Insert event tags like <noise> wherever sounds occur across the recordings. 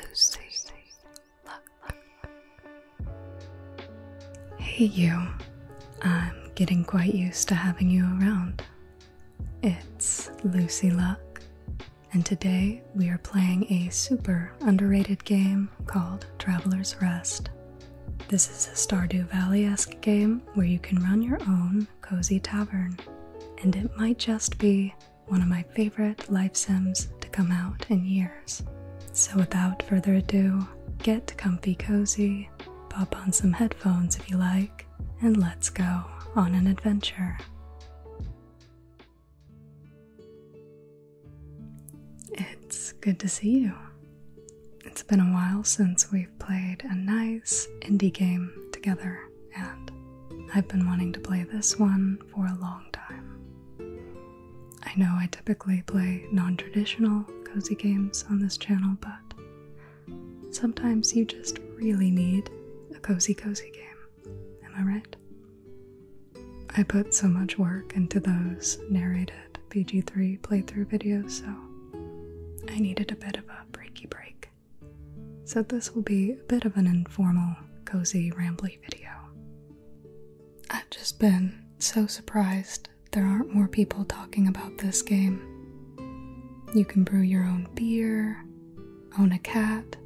Lucy, look, Hey, you. I'm getting quite used to having you around. It's Lucy Luck, and today we are playing a super underrated game called Traveler's Rest. This is a Stardew Valley esque game where you can run your own cozy tavern, and it might just be one of my favorite life sims to come out in years. So, without further ado, get comfy cozy, pop on some headphones if you like, and let's go on an adventure. It's good to see you. It's been a while since we've played a nice indie game together and I've been wanting to play this one for a long time. I know I typically play non traditional cozy games on this channel, but sometimes you just really need a cozy, cozy game. Am I right? I put so much work into those narrated bg 3 playthrough videos, so I needed a bit of a breaky break so this will be a bit of an informal, cozy, rambly video. I've just been so surprised there aren't more people talking about this game. You can brew your own beer, own a cat,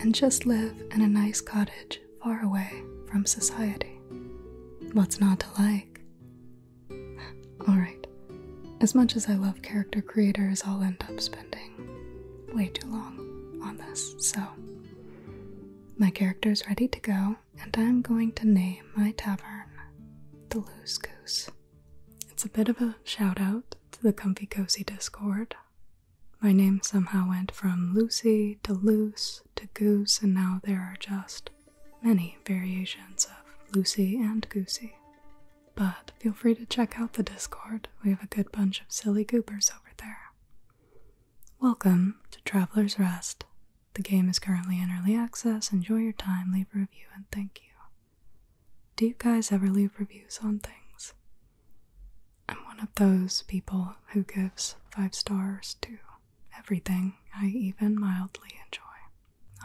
and just live in a nice cottage far away from society. What's not to like? <laughs> Alright, as much as I love character creators, I'll end up spending way too long on this, so my character is ready to go, and I'm going to name my tavern the Loose Goose. It's a bit of a shout out to the Comfy Cozy Discord. My name somehow went from Lucy to Loose to Goose, and now there are just many variations of Lucy and Goosey. But feel free to check out the Discord, we have a good bunch of silly goopers over there. Welcome to Traveler's Rest. The game is currently in early access. Enjoy your time, leave a review, and thank you. Do you guys ever leave reviews on things? I'm one of those people who gives five stars to everything I even mildly enjoy.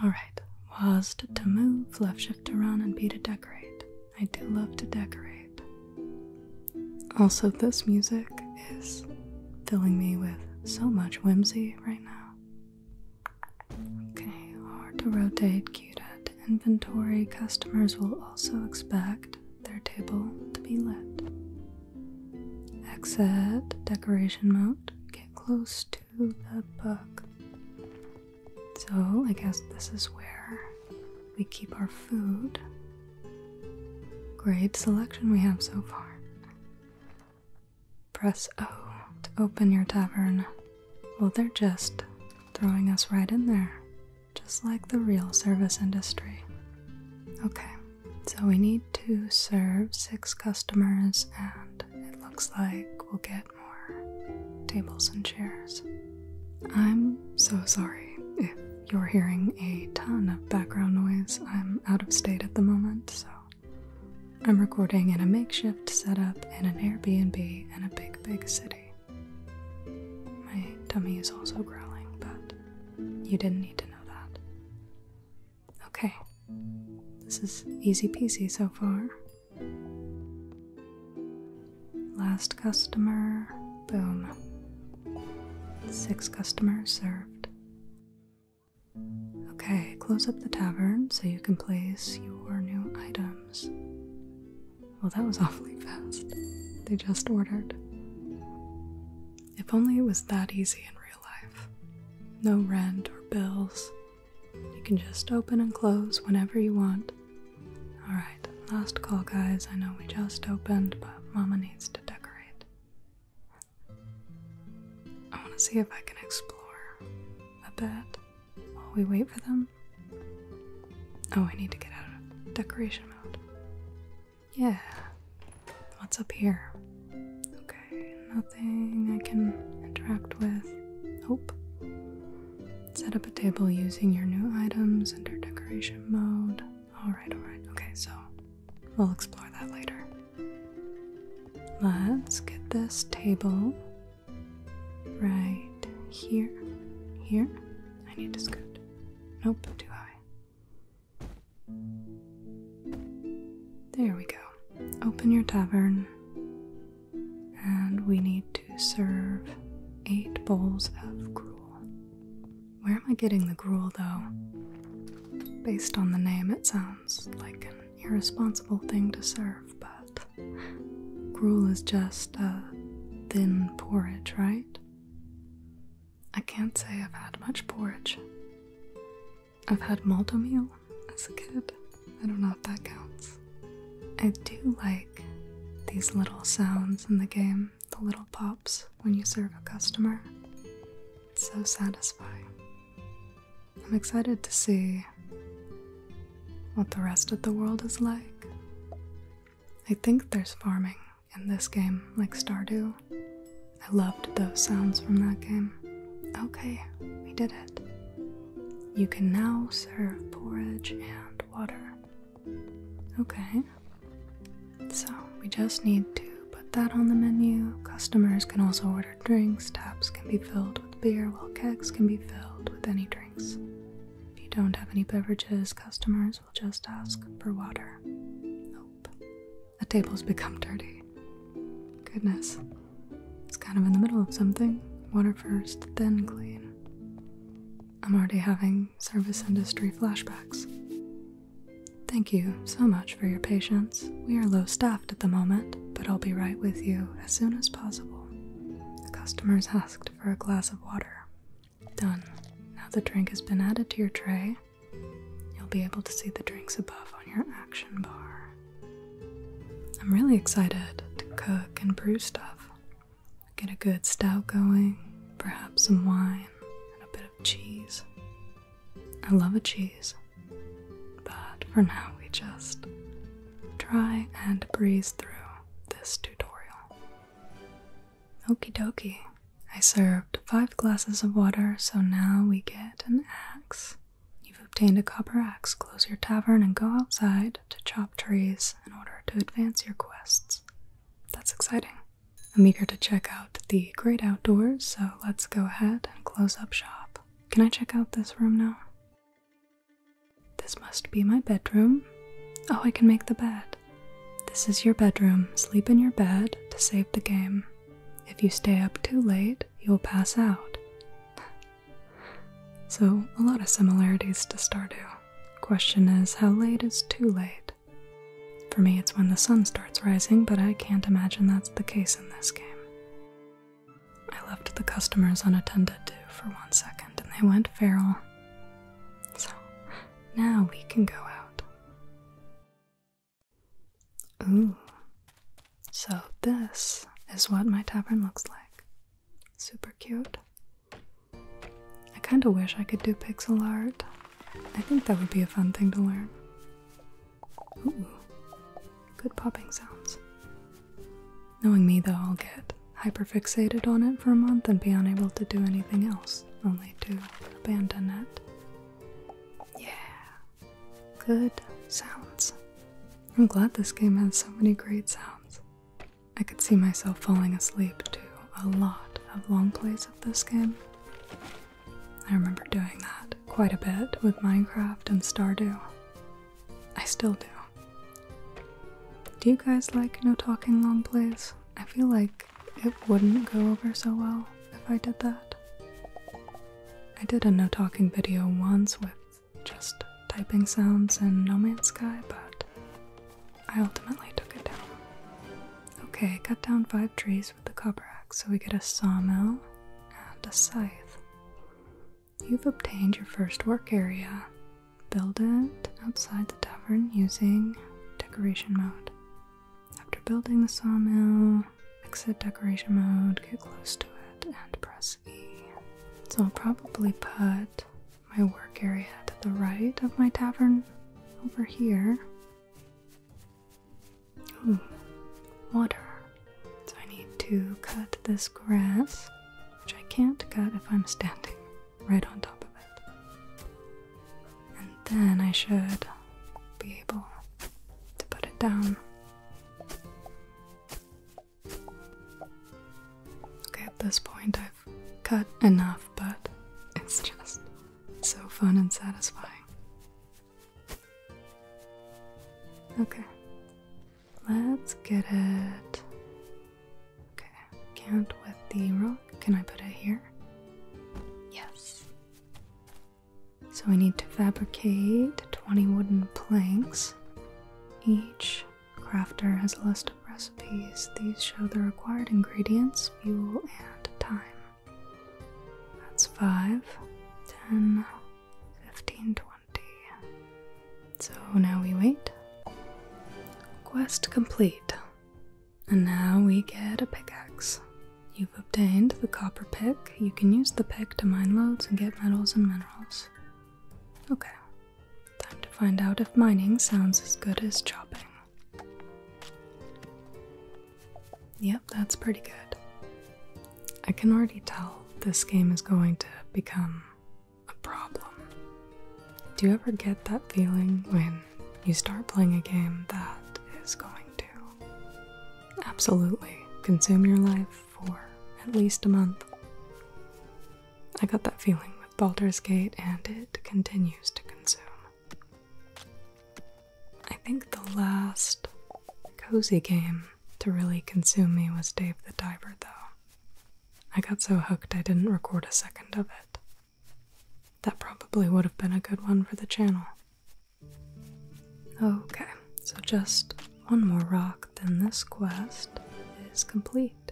Alright, was to move, left shift to run, and B to decorate. I do love to decorate. Also, this music is filling me with so much whimsy right now. Okay, hard to rotate, cute at inventory. Customers will also expect their table to be lit. Exit decoration mode. Get close to the book. So, I guess this is where we keep our food. Great selection we have so far. Press O to open your tavern. Well, they're just throwing us right in there, just like the real service industry. Okay, so we need to serve six customers, and it looks like we'll get more tables and chairs. I'm so sorry if you're hearing a ton of background noise. I'm out of state at the moment, so I'm recording in a makeshift setup in an Airbnb in a big, big city. My tummy is also growling, but you didn't need to know that. Okay, this is easy peasy so far. Last customer, boom. Six customers served. Okay, close up the tavern so you can place your new items. Well, that was <laughs> awfully fast. They just ordered. If only it was that easy in real life. No rent or bills, you can just open and close whenever you want. Alright, last call, guys. I know we just opened, but Mama needs to decorate. I want to see if I can explore a bit while we wait for them. Oh, I need to get out of decoration mode. Yeah. What's up here? Okay, nothing I can interact with. Nope. Set up a table using your new items under decoration mode. Alright, alright. Okay, so we'll explore that later. Let's get this table right here. Here? I need to scoot. Nope, too high. There we go. Open your tavern and we need to serve eight bowls of gruel. Where am I getting the gruel though? Based on the name, it sounds like an irresponsible thing to serve, but gruel is just a thin porridge, right? I can't say I've had much porridge. I've had malto meal as a kid. I don't know if that counts. I do like these little sounds in the game, the little pops when you serve a customer. It's so satisfying. I'm excited to see what the rest of the world is like. I think there's farming in this game, like Stardew. I loved those sounds from that game. Okay, we did it. You can now serve porridge and water. Okay, so we just need to put that on the menu. Customers can also order drinks, taps can be filled with beer, while kegs can be filled with any drinks. If you don't have any beverages, customers will just ask for water. Nope. The tables become dirty. Goodness. It's kind of in the middle of something. Water first, then clean. I'm already having service industry flashbacks. Thank you so much for your patience. We are low staffed at the moment, but I'll be right with you as soon as possible. The customers asked for a glass of water. Done. Now the drink has been added to your tray. You'll be able to see the drinks above on your action bar. I'm really excited to cook and brew stuff. Get a good stout going, perhaps some wine and a bit of cheese. I love a cheese, but for now we just try and breeze through this tutorial. Okey dokey. I served five glasses of water, so now we get an axe You've obtained a copper axe. Close your tavern and go outside to chop trees in order to advance your quests. That's exciting. I'm eager to check out the great outdoors, so let's go ahead and close up shop. Can I check out this room now? This must be my bedroom. Oh, I can make the bed. This is your bedroom. Sleep in your bed to save the game. If you stay up too late, you'll pass out. So, a lot of similarities to Stardew. Question is, how late is too late? For me, it's when the sun starts rising, but I can't imagine that's the case in this game. I left the customers unattended too for one second, and they went feral. So, now we can go out. Ooh. So, this is what my tavern looks like. Super cute. I kind of wish I could do pixel art. I think that would be a fun thing to learn. Ooh, good popping sounds. Knowing me though, I'll get hyper fixated on it for a month and be unable to do anything else, only to abandon it. Yeah, good sounds. I'm glad this game has so many great sounds. I could see myself falling asleep to a lot of long plays of this game. I remember doing that quite a bit with Minecraft and Stardew. I still do. Do you guys like no talking long plays? I feel like it wouldn't go over so well if I did that. I did a no talking video once with just typing sounds and No Man's Sky, but I ultimately took it down. Okay, cut down five trees with the copper axe, so we get a sawmill and a scythe. You've obtained your first work area. Build it outside the tavern using decoration mode. After building the sawmill, exit decoration mode, get close to it and press E. So I'll probably put my work area to the right of my tavern over here. Ooh, water. So I need to cut this grass, which I can't cut if I'm standing right on top of it. And then I should be able to put it down. Okay, at this point I've cut enough, but it's just so fun and satisfying. Okay, let's get it. Okay, can't with the rock. Can I put it here? Yes. So we need to fabricate 20 wooden planks. Each crafter has a list of recipes. These show the required ingredients, fuel, and time. That's five, ten, fifteen, twenty. So now we wait. Quest complete. And now we get a pickaxe. You've obtained the copper pick. You can use the pick to mine loads and get metals and minerals. Okay, time to find out if mining sounds as good as chopping. Yep, that's pretty good. I can already tell this game is going to become a problem. Do you ever get that feeling when you start playing a game that is going to absolutely consume your life? for at least a month. I got that feeling with Baldur's Gate, and it continues to consume. I think the last cozy game to really consume me was Dave the Diver, though. I got so hooked I didn't record a second of it. That probably would have been a good one for the channel. Okay, so just one more rock, then this quest is complete.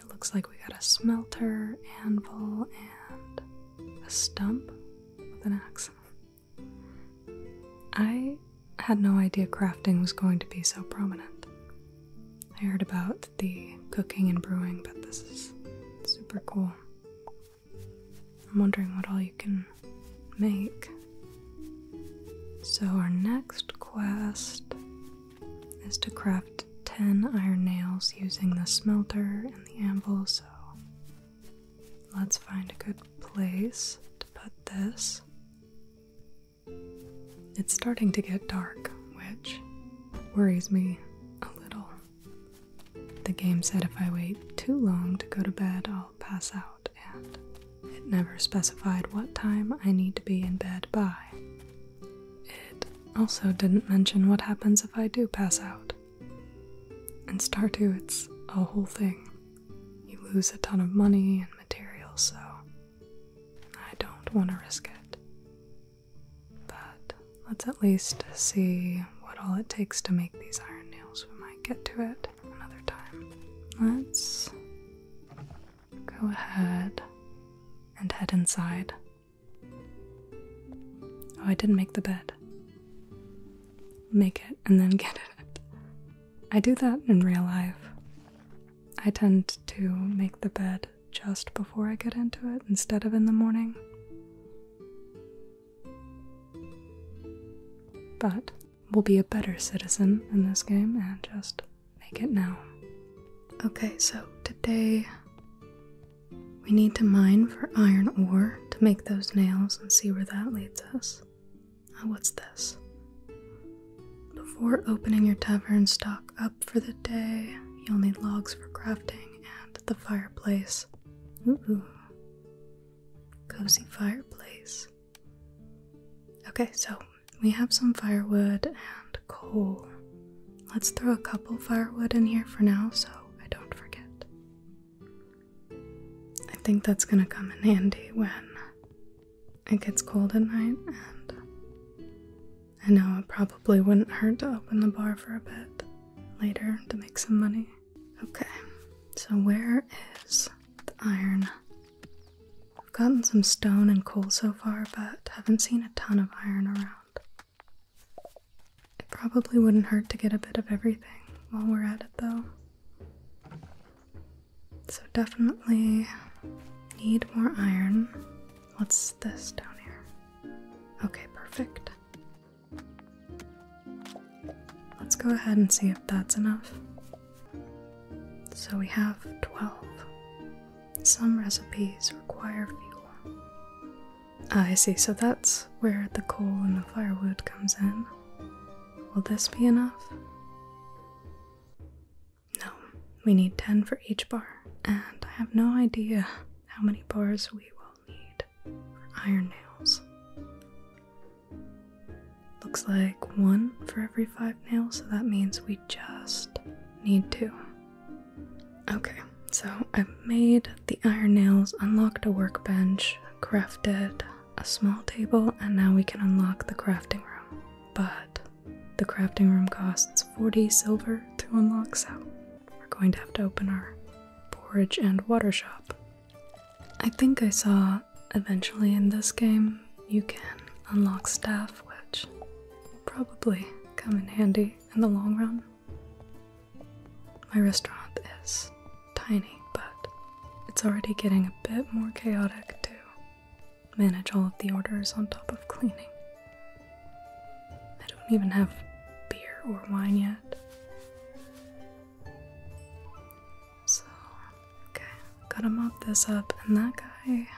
It looks like we got a smelter, anvil, and a stump with an axe. I had no idea crafting was going to be so prominent. I heard about the cooking and brewing, but this is super cool. I'm wondering what all you can make. So, our next quest is to craft 10 iron nails using the smelter and the anvil. So, let's find a good place to put this. It's starting to get dark, which worries me a little. The game said if I wait too long to go to bed, I'll pass out and it never specified what time I need to be in bed by. It also didn't mention what happens if I do pass out. In Stardew, it's a whole thing. You lose a ton of money and materials, so I don't want to risk it. But let's at least see what all it takes to make these iron nails We might get to it another time. Let's go ahead and head inside. Oh, I didn't make the bed. Make it and then get it. I do that in real life. I tend to make the bed just before I get into it instead of in the morning. But will be a better citizen in this game and just make it now. Okay, so today we need to mine for iron ore to make those nails and see where that leads us. Oh, what's this? Before opening your tavern stock up for the day, you'll need logs for crafting and the fireplace. Ooh, cozy fireplace. Okay, so we have some firewood and coal. Let's throw a couple firewood in here for now so I don't forget. I think that's gonna come in handy when it gets cold at night, and I know it probably wouldn't hurt to open the bar for a bit later to make some money. Okay, so where is the iron I've gotten some stone and coal so far, but haven't seen a ton of iron around. It probably wouldn't hurt to get a bit of everything while we're at it, though. So, definitely need more iron. What's this down here? Okay, perfect. Let's go ahead and see if that's enough. So we have 12. Some recipes require fuel. Ah, I see, so that's where the coal and the firewood comes in. Will this be enough? No, we need 10 for each bar, and I have no idea how many bars we will need for iron nails. Looks like one for every five nails, so that means we just need two. Okay, so I've made the iron nails, unlocked a workbench, crafted a small table, and now we can unlock the crafting room. But the crafting room costs 40 silver to unlock, so we're going to have to open our porridge and water shop. I think I saw eventually in this game, you can unlock staff, which will probably come in handy in the long run. My restaurant is tiny, but it's already getting a bit more chaotic to manage all of the orders on top of cleaning. I don't even have beer or wine yet. So, okay, gotta mop this up, and that guy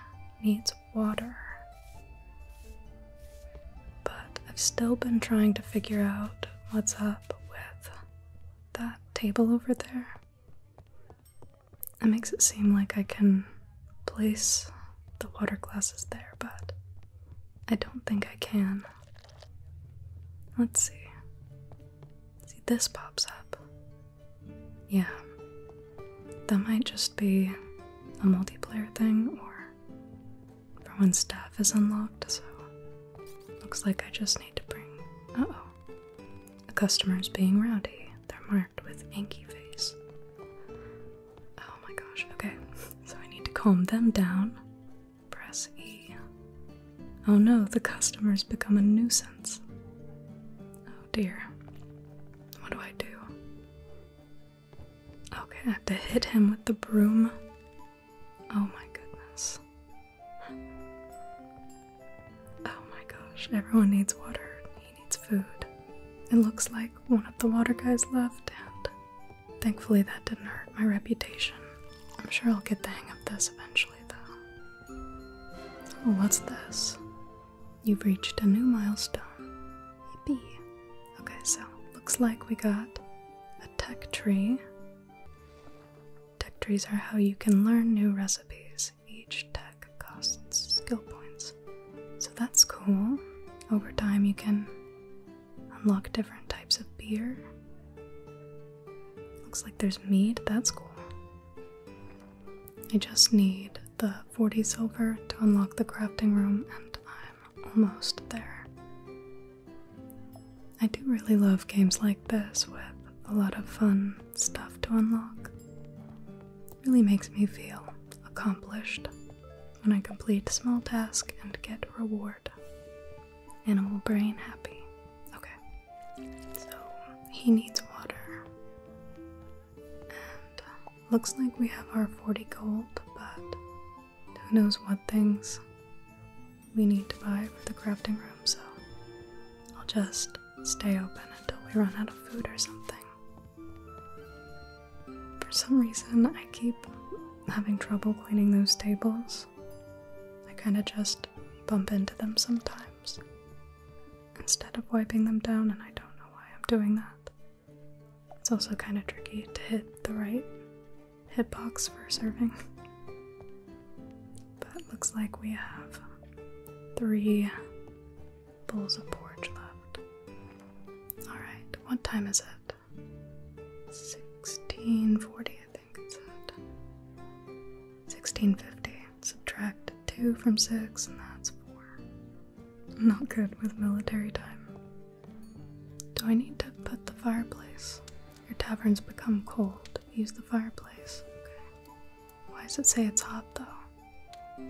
needs water. But I've still been trying to figure out what's up with that table over there. It makes it seem like I can place the water glasses there, but I don't think I can. Let's see. See, this pops up. Yeah. That might just be a multiplayer thing, or for when staff is unlocked, so looks like I just need to bring. oh. the customer's being rowdy. They're marked with Anki face. Oh my gosh, okay. <laughs> So I need to calm them down. Press E. Oh no, the customer's become a nuisance. Oh dear. What do I do? Okay, I have to hit him with the broom. Oh my goodness. Oh my gosh, everyone needs water. He needs food. It looks like one of the water guys left, and thankfully that didn't hurt my reputation. I'm sure I'll get the hang of this eventually, though. what's this? You've reached a new milestone. Yippee. Okay, so looks like we got a tech tree. Tech trees are how you can learn new recipes. Each tech costs skill points. So that's cool. Over time, you can unlock different types of beer. Looks like there's meat. that's cool. I just need the 40 silver to unlock the crafting room, and I'm almost there. I do really love games like this with a lot of fun stuff to unlock. really makes me feel accomplished when I complete small task and get reward. Animal brain happy. Okay. So he needs water. And um, looks like we have our 40 gold, but who knows what things we need to buy for the crafting room, so I'll just stay open until we run out of food or something. For some reason, I keep having trouble cleaning those tables. I kind of just bump into them sometimes instead of wiping them down, and I don't know why I'm doing that. It's also kind of tricky to hit the right hit box for serving. But looks like we have three bowls of porridge left. Alright, what time is it? 1640, I think think 1650. Subtract 2 from 6, and that's 4. Not good with military time. Do I need to put the fireplace? Your tavern's become cold. Use the fireplace. Okay. Why does it say it's hot though?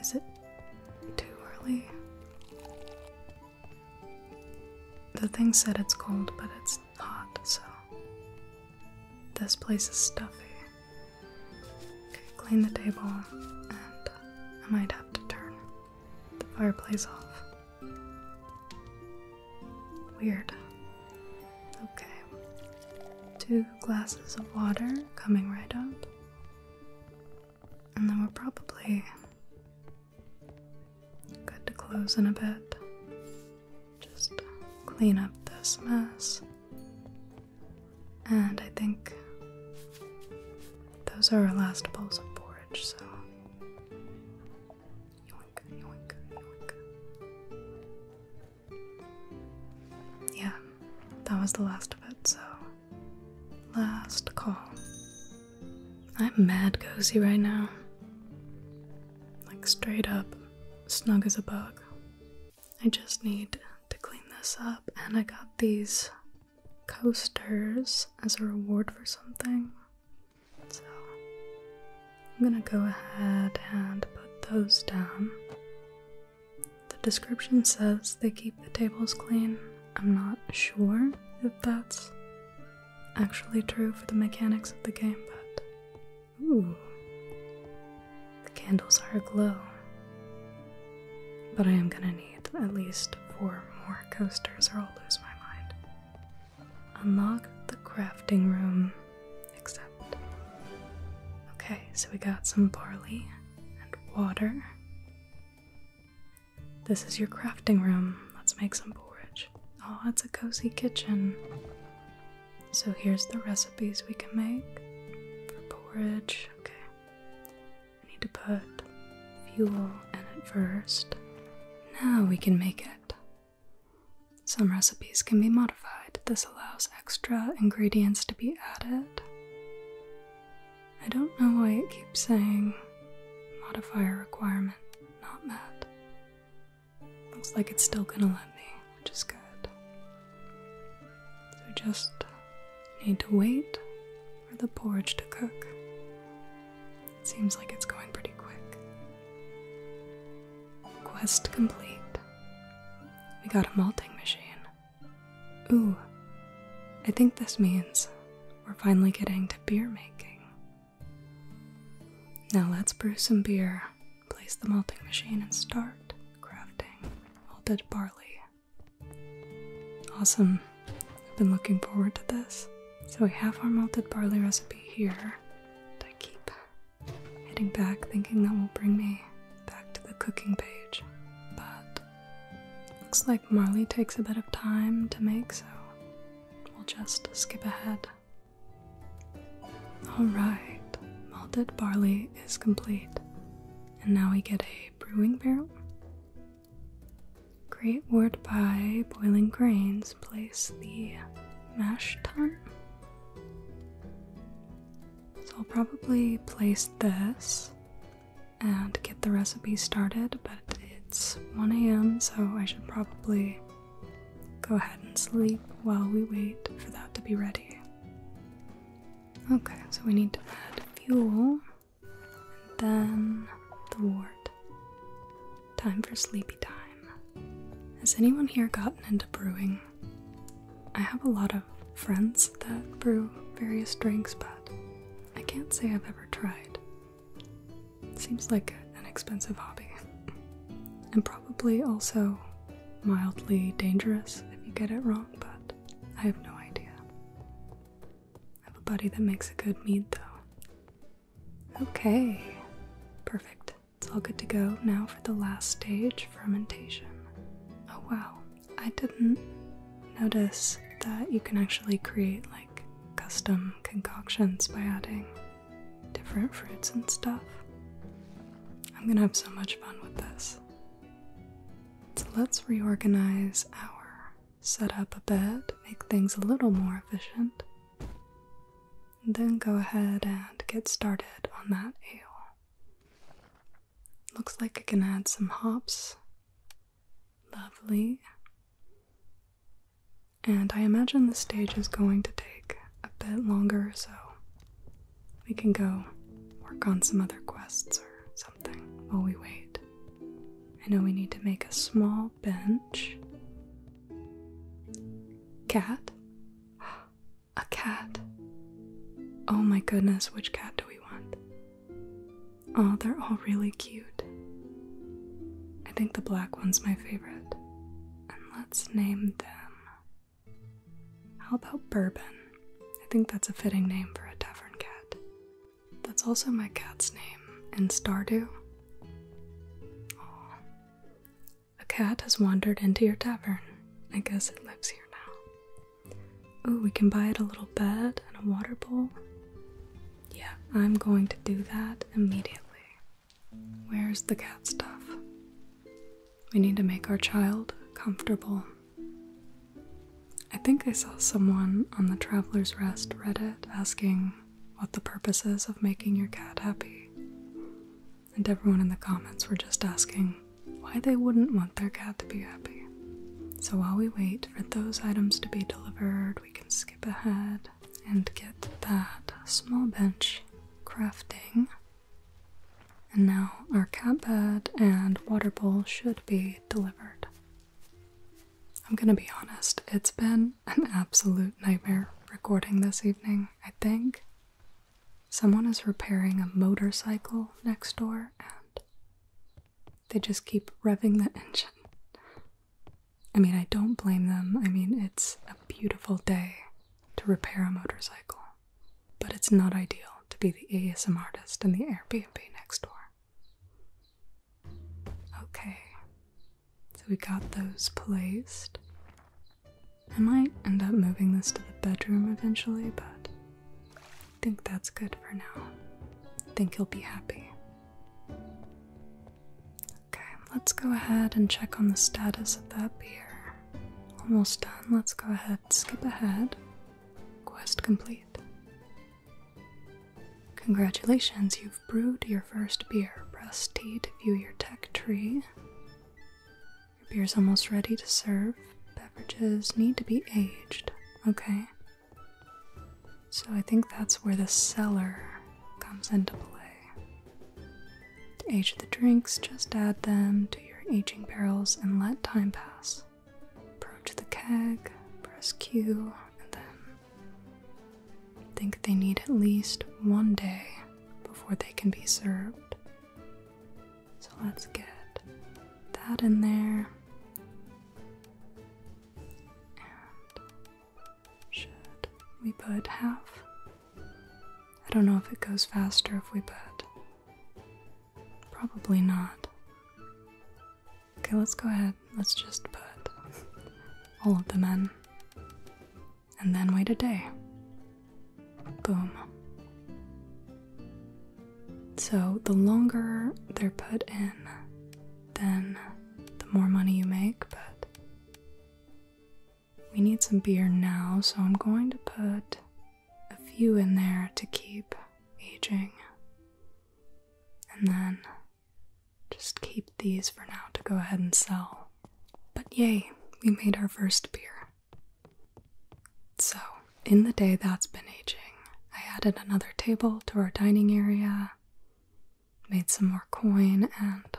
Is it too early? The thing said it's cold, but it's Hot. so. This place is stuffy. Okay, clean the table, and I might have to turn the fireplace off. Weird. Okay. Two glasses of water coming right up. And then we're probably Good to close in a bit. Just clean up this mess. And I think those are our last bowls of porridge, so. Yeah, that was the last of it, so. Last call. I'm mad cozy right now like straight up, snug as a bug. I just need to clean this up, and I got these coasters as a reward for something. So I'm gonna go ahead and put those down. The description says they keep the tables clean. I'm not sure if that's actually true for the mechanics of the game, but. Ooh. The candles are aglow. But I am gonna need at least four more coasters or I'll lose my mind. Unlock the crafting room, except. Okay, so we got some barley and water. This is your crafting room. Let's make some porridge. Oh, it's a cozy kitchen. So here's the recipes we can make for porridge. Okay. I need to put fuel in it first. Now we can make it. Some recipes can be modified. This allows extra ingredients to be added. I don't know why it keeps saying modifier requirement not met. Looks like it's still gonna let me, which is good. So just need to wait for the porridge to cook. seems like it's going pretty quick. Quest complete. We got a malting machine. Ooh, I think this means we're finally getting to beer making. Now let's brew some beer. Place the malting machine and start crafting malted barley. Awesome. I've been looking forward to this. So we have our malted barley recipe here. And I keep hitting back thinking that will bring me back to the cooking page. But looks like Marley takes a bit of time to make, so we'll just skip ahead Alright, malted barley is complete. And now we get a brewing barrel. Great wort by boiling grains. Place the mash tun. So I'll probably place this and get the recipe started, but it's 1 a.m., so I should probably Go ahead and sleep while we wait for that to be ready. Okay, so we need to add fuel and then the ward. Time for sleepy time. Has anyone here gotten into brewing? I have a lot of friends that brew various drinks, but I can't say I've ever tried Seems like an expensive hobby. And probably also mildly dangerous if you get it wrong, but I have no idea. I have a buddy that makes a good mead though. Okay, perfect. It's all good to go now for the last stage fermentation. Oh wow, I didn't notice that you can actually create like custom concoctions by adding different fruits and stuff. I'm gonna have so much fun with this. So let's reorganize our setup a bit, make things a little more efficient, then go ahead and get started on that ale. Looks like I can add some hops. Lovely. And I imagine the stage is going to take a bit longer, so we can go work on some other quests or something while we wait. I know we need to make a small bench. Cat? <gasps> A cat. Oh my goodness, which cat do we want? Oh, they're all really cute. I think the black one's my favorite. And let's name them. How about Bourbon? I think that's a fitting name for a tavern cat. That's also my cat's name And Stardew. Aww. A cat has wandered into your tavern. I guess it lives here now. Oh, we can buy it a little bed and a water bowl. Yeah, I'm going to do that immediately. Where's the cat stuff? We need to make our child comfortable. I think I saw someone on the Traveler's Rest Reddit asking what the purposes of making your cat happy. And everyone in the comments were just asking why they wouldn't want their cat to be happy. So while we wait for those items to be delivered, we can skip ahead and get that small bench crafting. And now our cat bed and water bowl should be delivered. I'm gonna be honest, it's been an absolute nightmare recording this evening, I think. Someone is repairing a motorcycle next door and they just keep revving the <laughs> engine. I mean, I don't blame them. I mean, it's a beautiful day to repair a motorcycle, but it's not ideal to be the ASM artist in the Airbnb next door. Okay, so we got those placed. I might end up moving this to the bedroom eventually, but I think that's good for now. think you'll be happy. Okay, let's go ahead and check on the status of that beer. Almost done. Let's go ahead, skip ahead. Quest complete. Congratulations, you've brewed your first beer. Press T to view your tech tree. Your beer's almost ready to serve. Beverages need to be aged. Okay. So I think that's where the cellar comes into play. To age the drinks, just add them to your aging barrels and let time pass. Approach the keg, press Q, and then think they need at least one day before they can be served. So let's get that in there. Should we put half? I don't know if it goes faster if we put. Probably not. Okay, let's go ahead. Let's just put <laughs> all of them in. And then wait a day. Boom. So the longer they're put in, then the more money you make, but we need some beer now, so I'm going to put a few in there to keep aging. And then just keep these for now to go ahead and sell. But yay, we made our first beer. So, in the day that's been aging, I added another table to our dining area made some more coin, and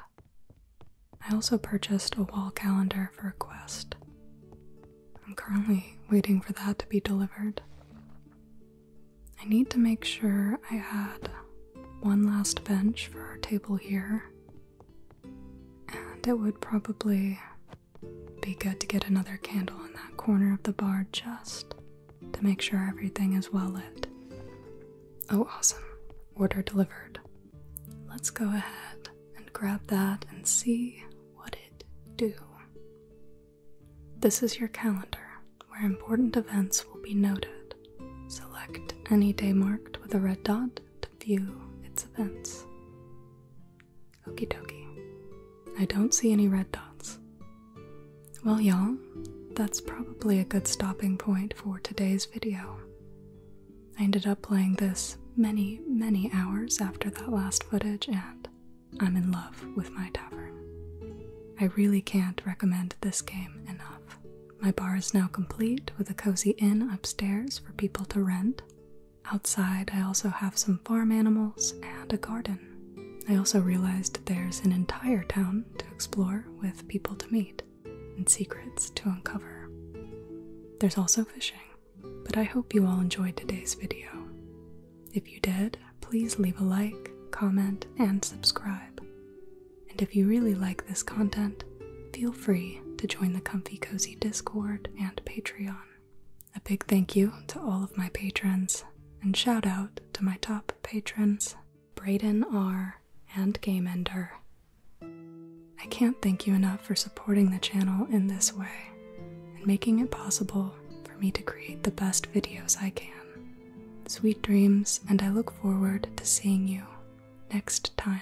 I also purchased a wall calendar for a quest. I'm currently waiting for that to be delivered. I need to make sure I had one last bench for our table here, and it would probably be good to get another candle in that corner of the bar just to make sure everything is well lit. Oh, awesome. Order delivered. Let's go ahead and grab that and see what it do. This is your calendar where important events will be noted. Select any day marked with a red dot to view its events. Okie dokie. I don't see any red dots, well, y'all, that's probably a good stopping point for today's video. I ended up playing this many, many hours after that last footage, and I'm in love with my tavern. I really can't recommend this game enough. My bar is now complete with a cozy inn upstairs for people to rent. Outside, I also have some farm animals and a garden. I also realized there's an entire town to explore with people to meet and secrets to uncover. There's also fishing, but I hope you all enjoyed today's video. If you did, please leave a like, comment, and subscribe. And if you really like this content, feel free to join the Comfy Cozy Discord and Patreon. A big thank you to all of my patrons, and shout out to my top patrons Braden R., and GameEnder. I can't thank you enough for supporting the channel in this way and making it possible for me to create the best videos I can. Sweet dreams, and I look forward to seeing you next time.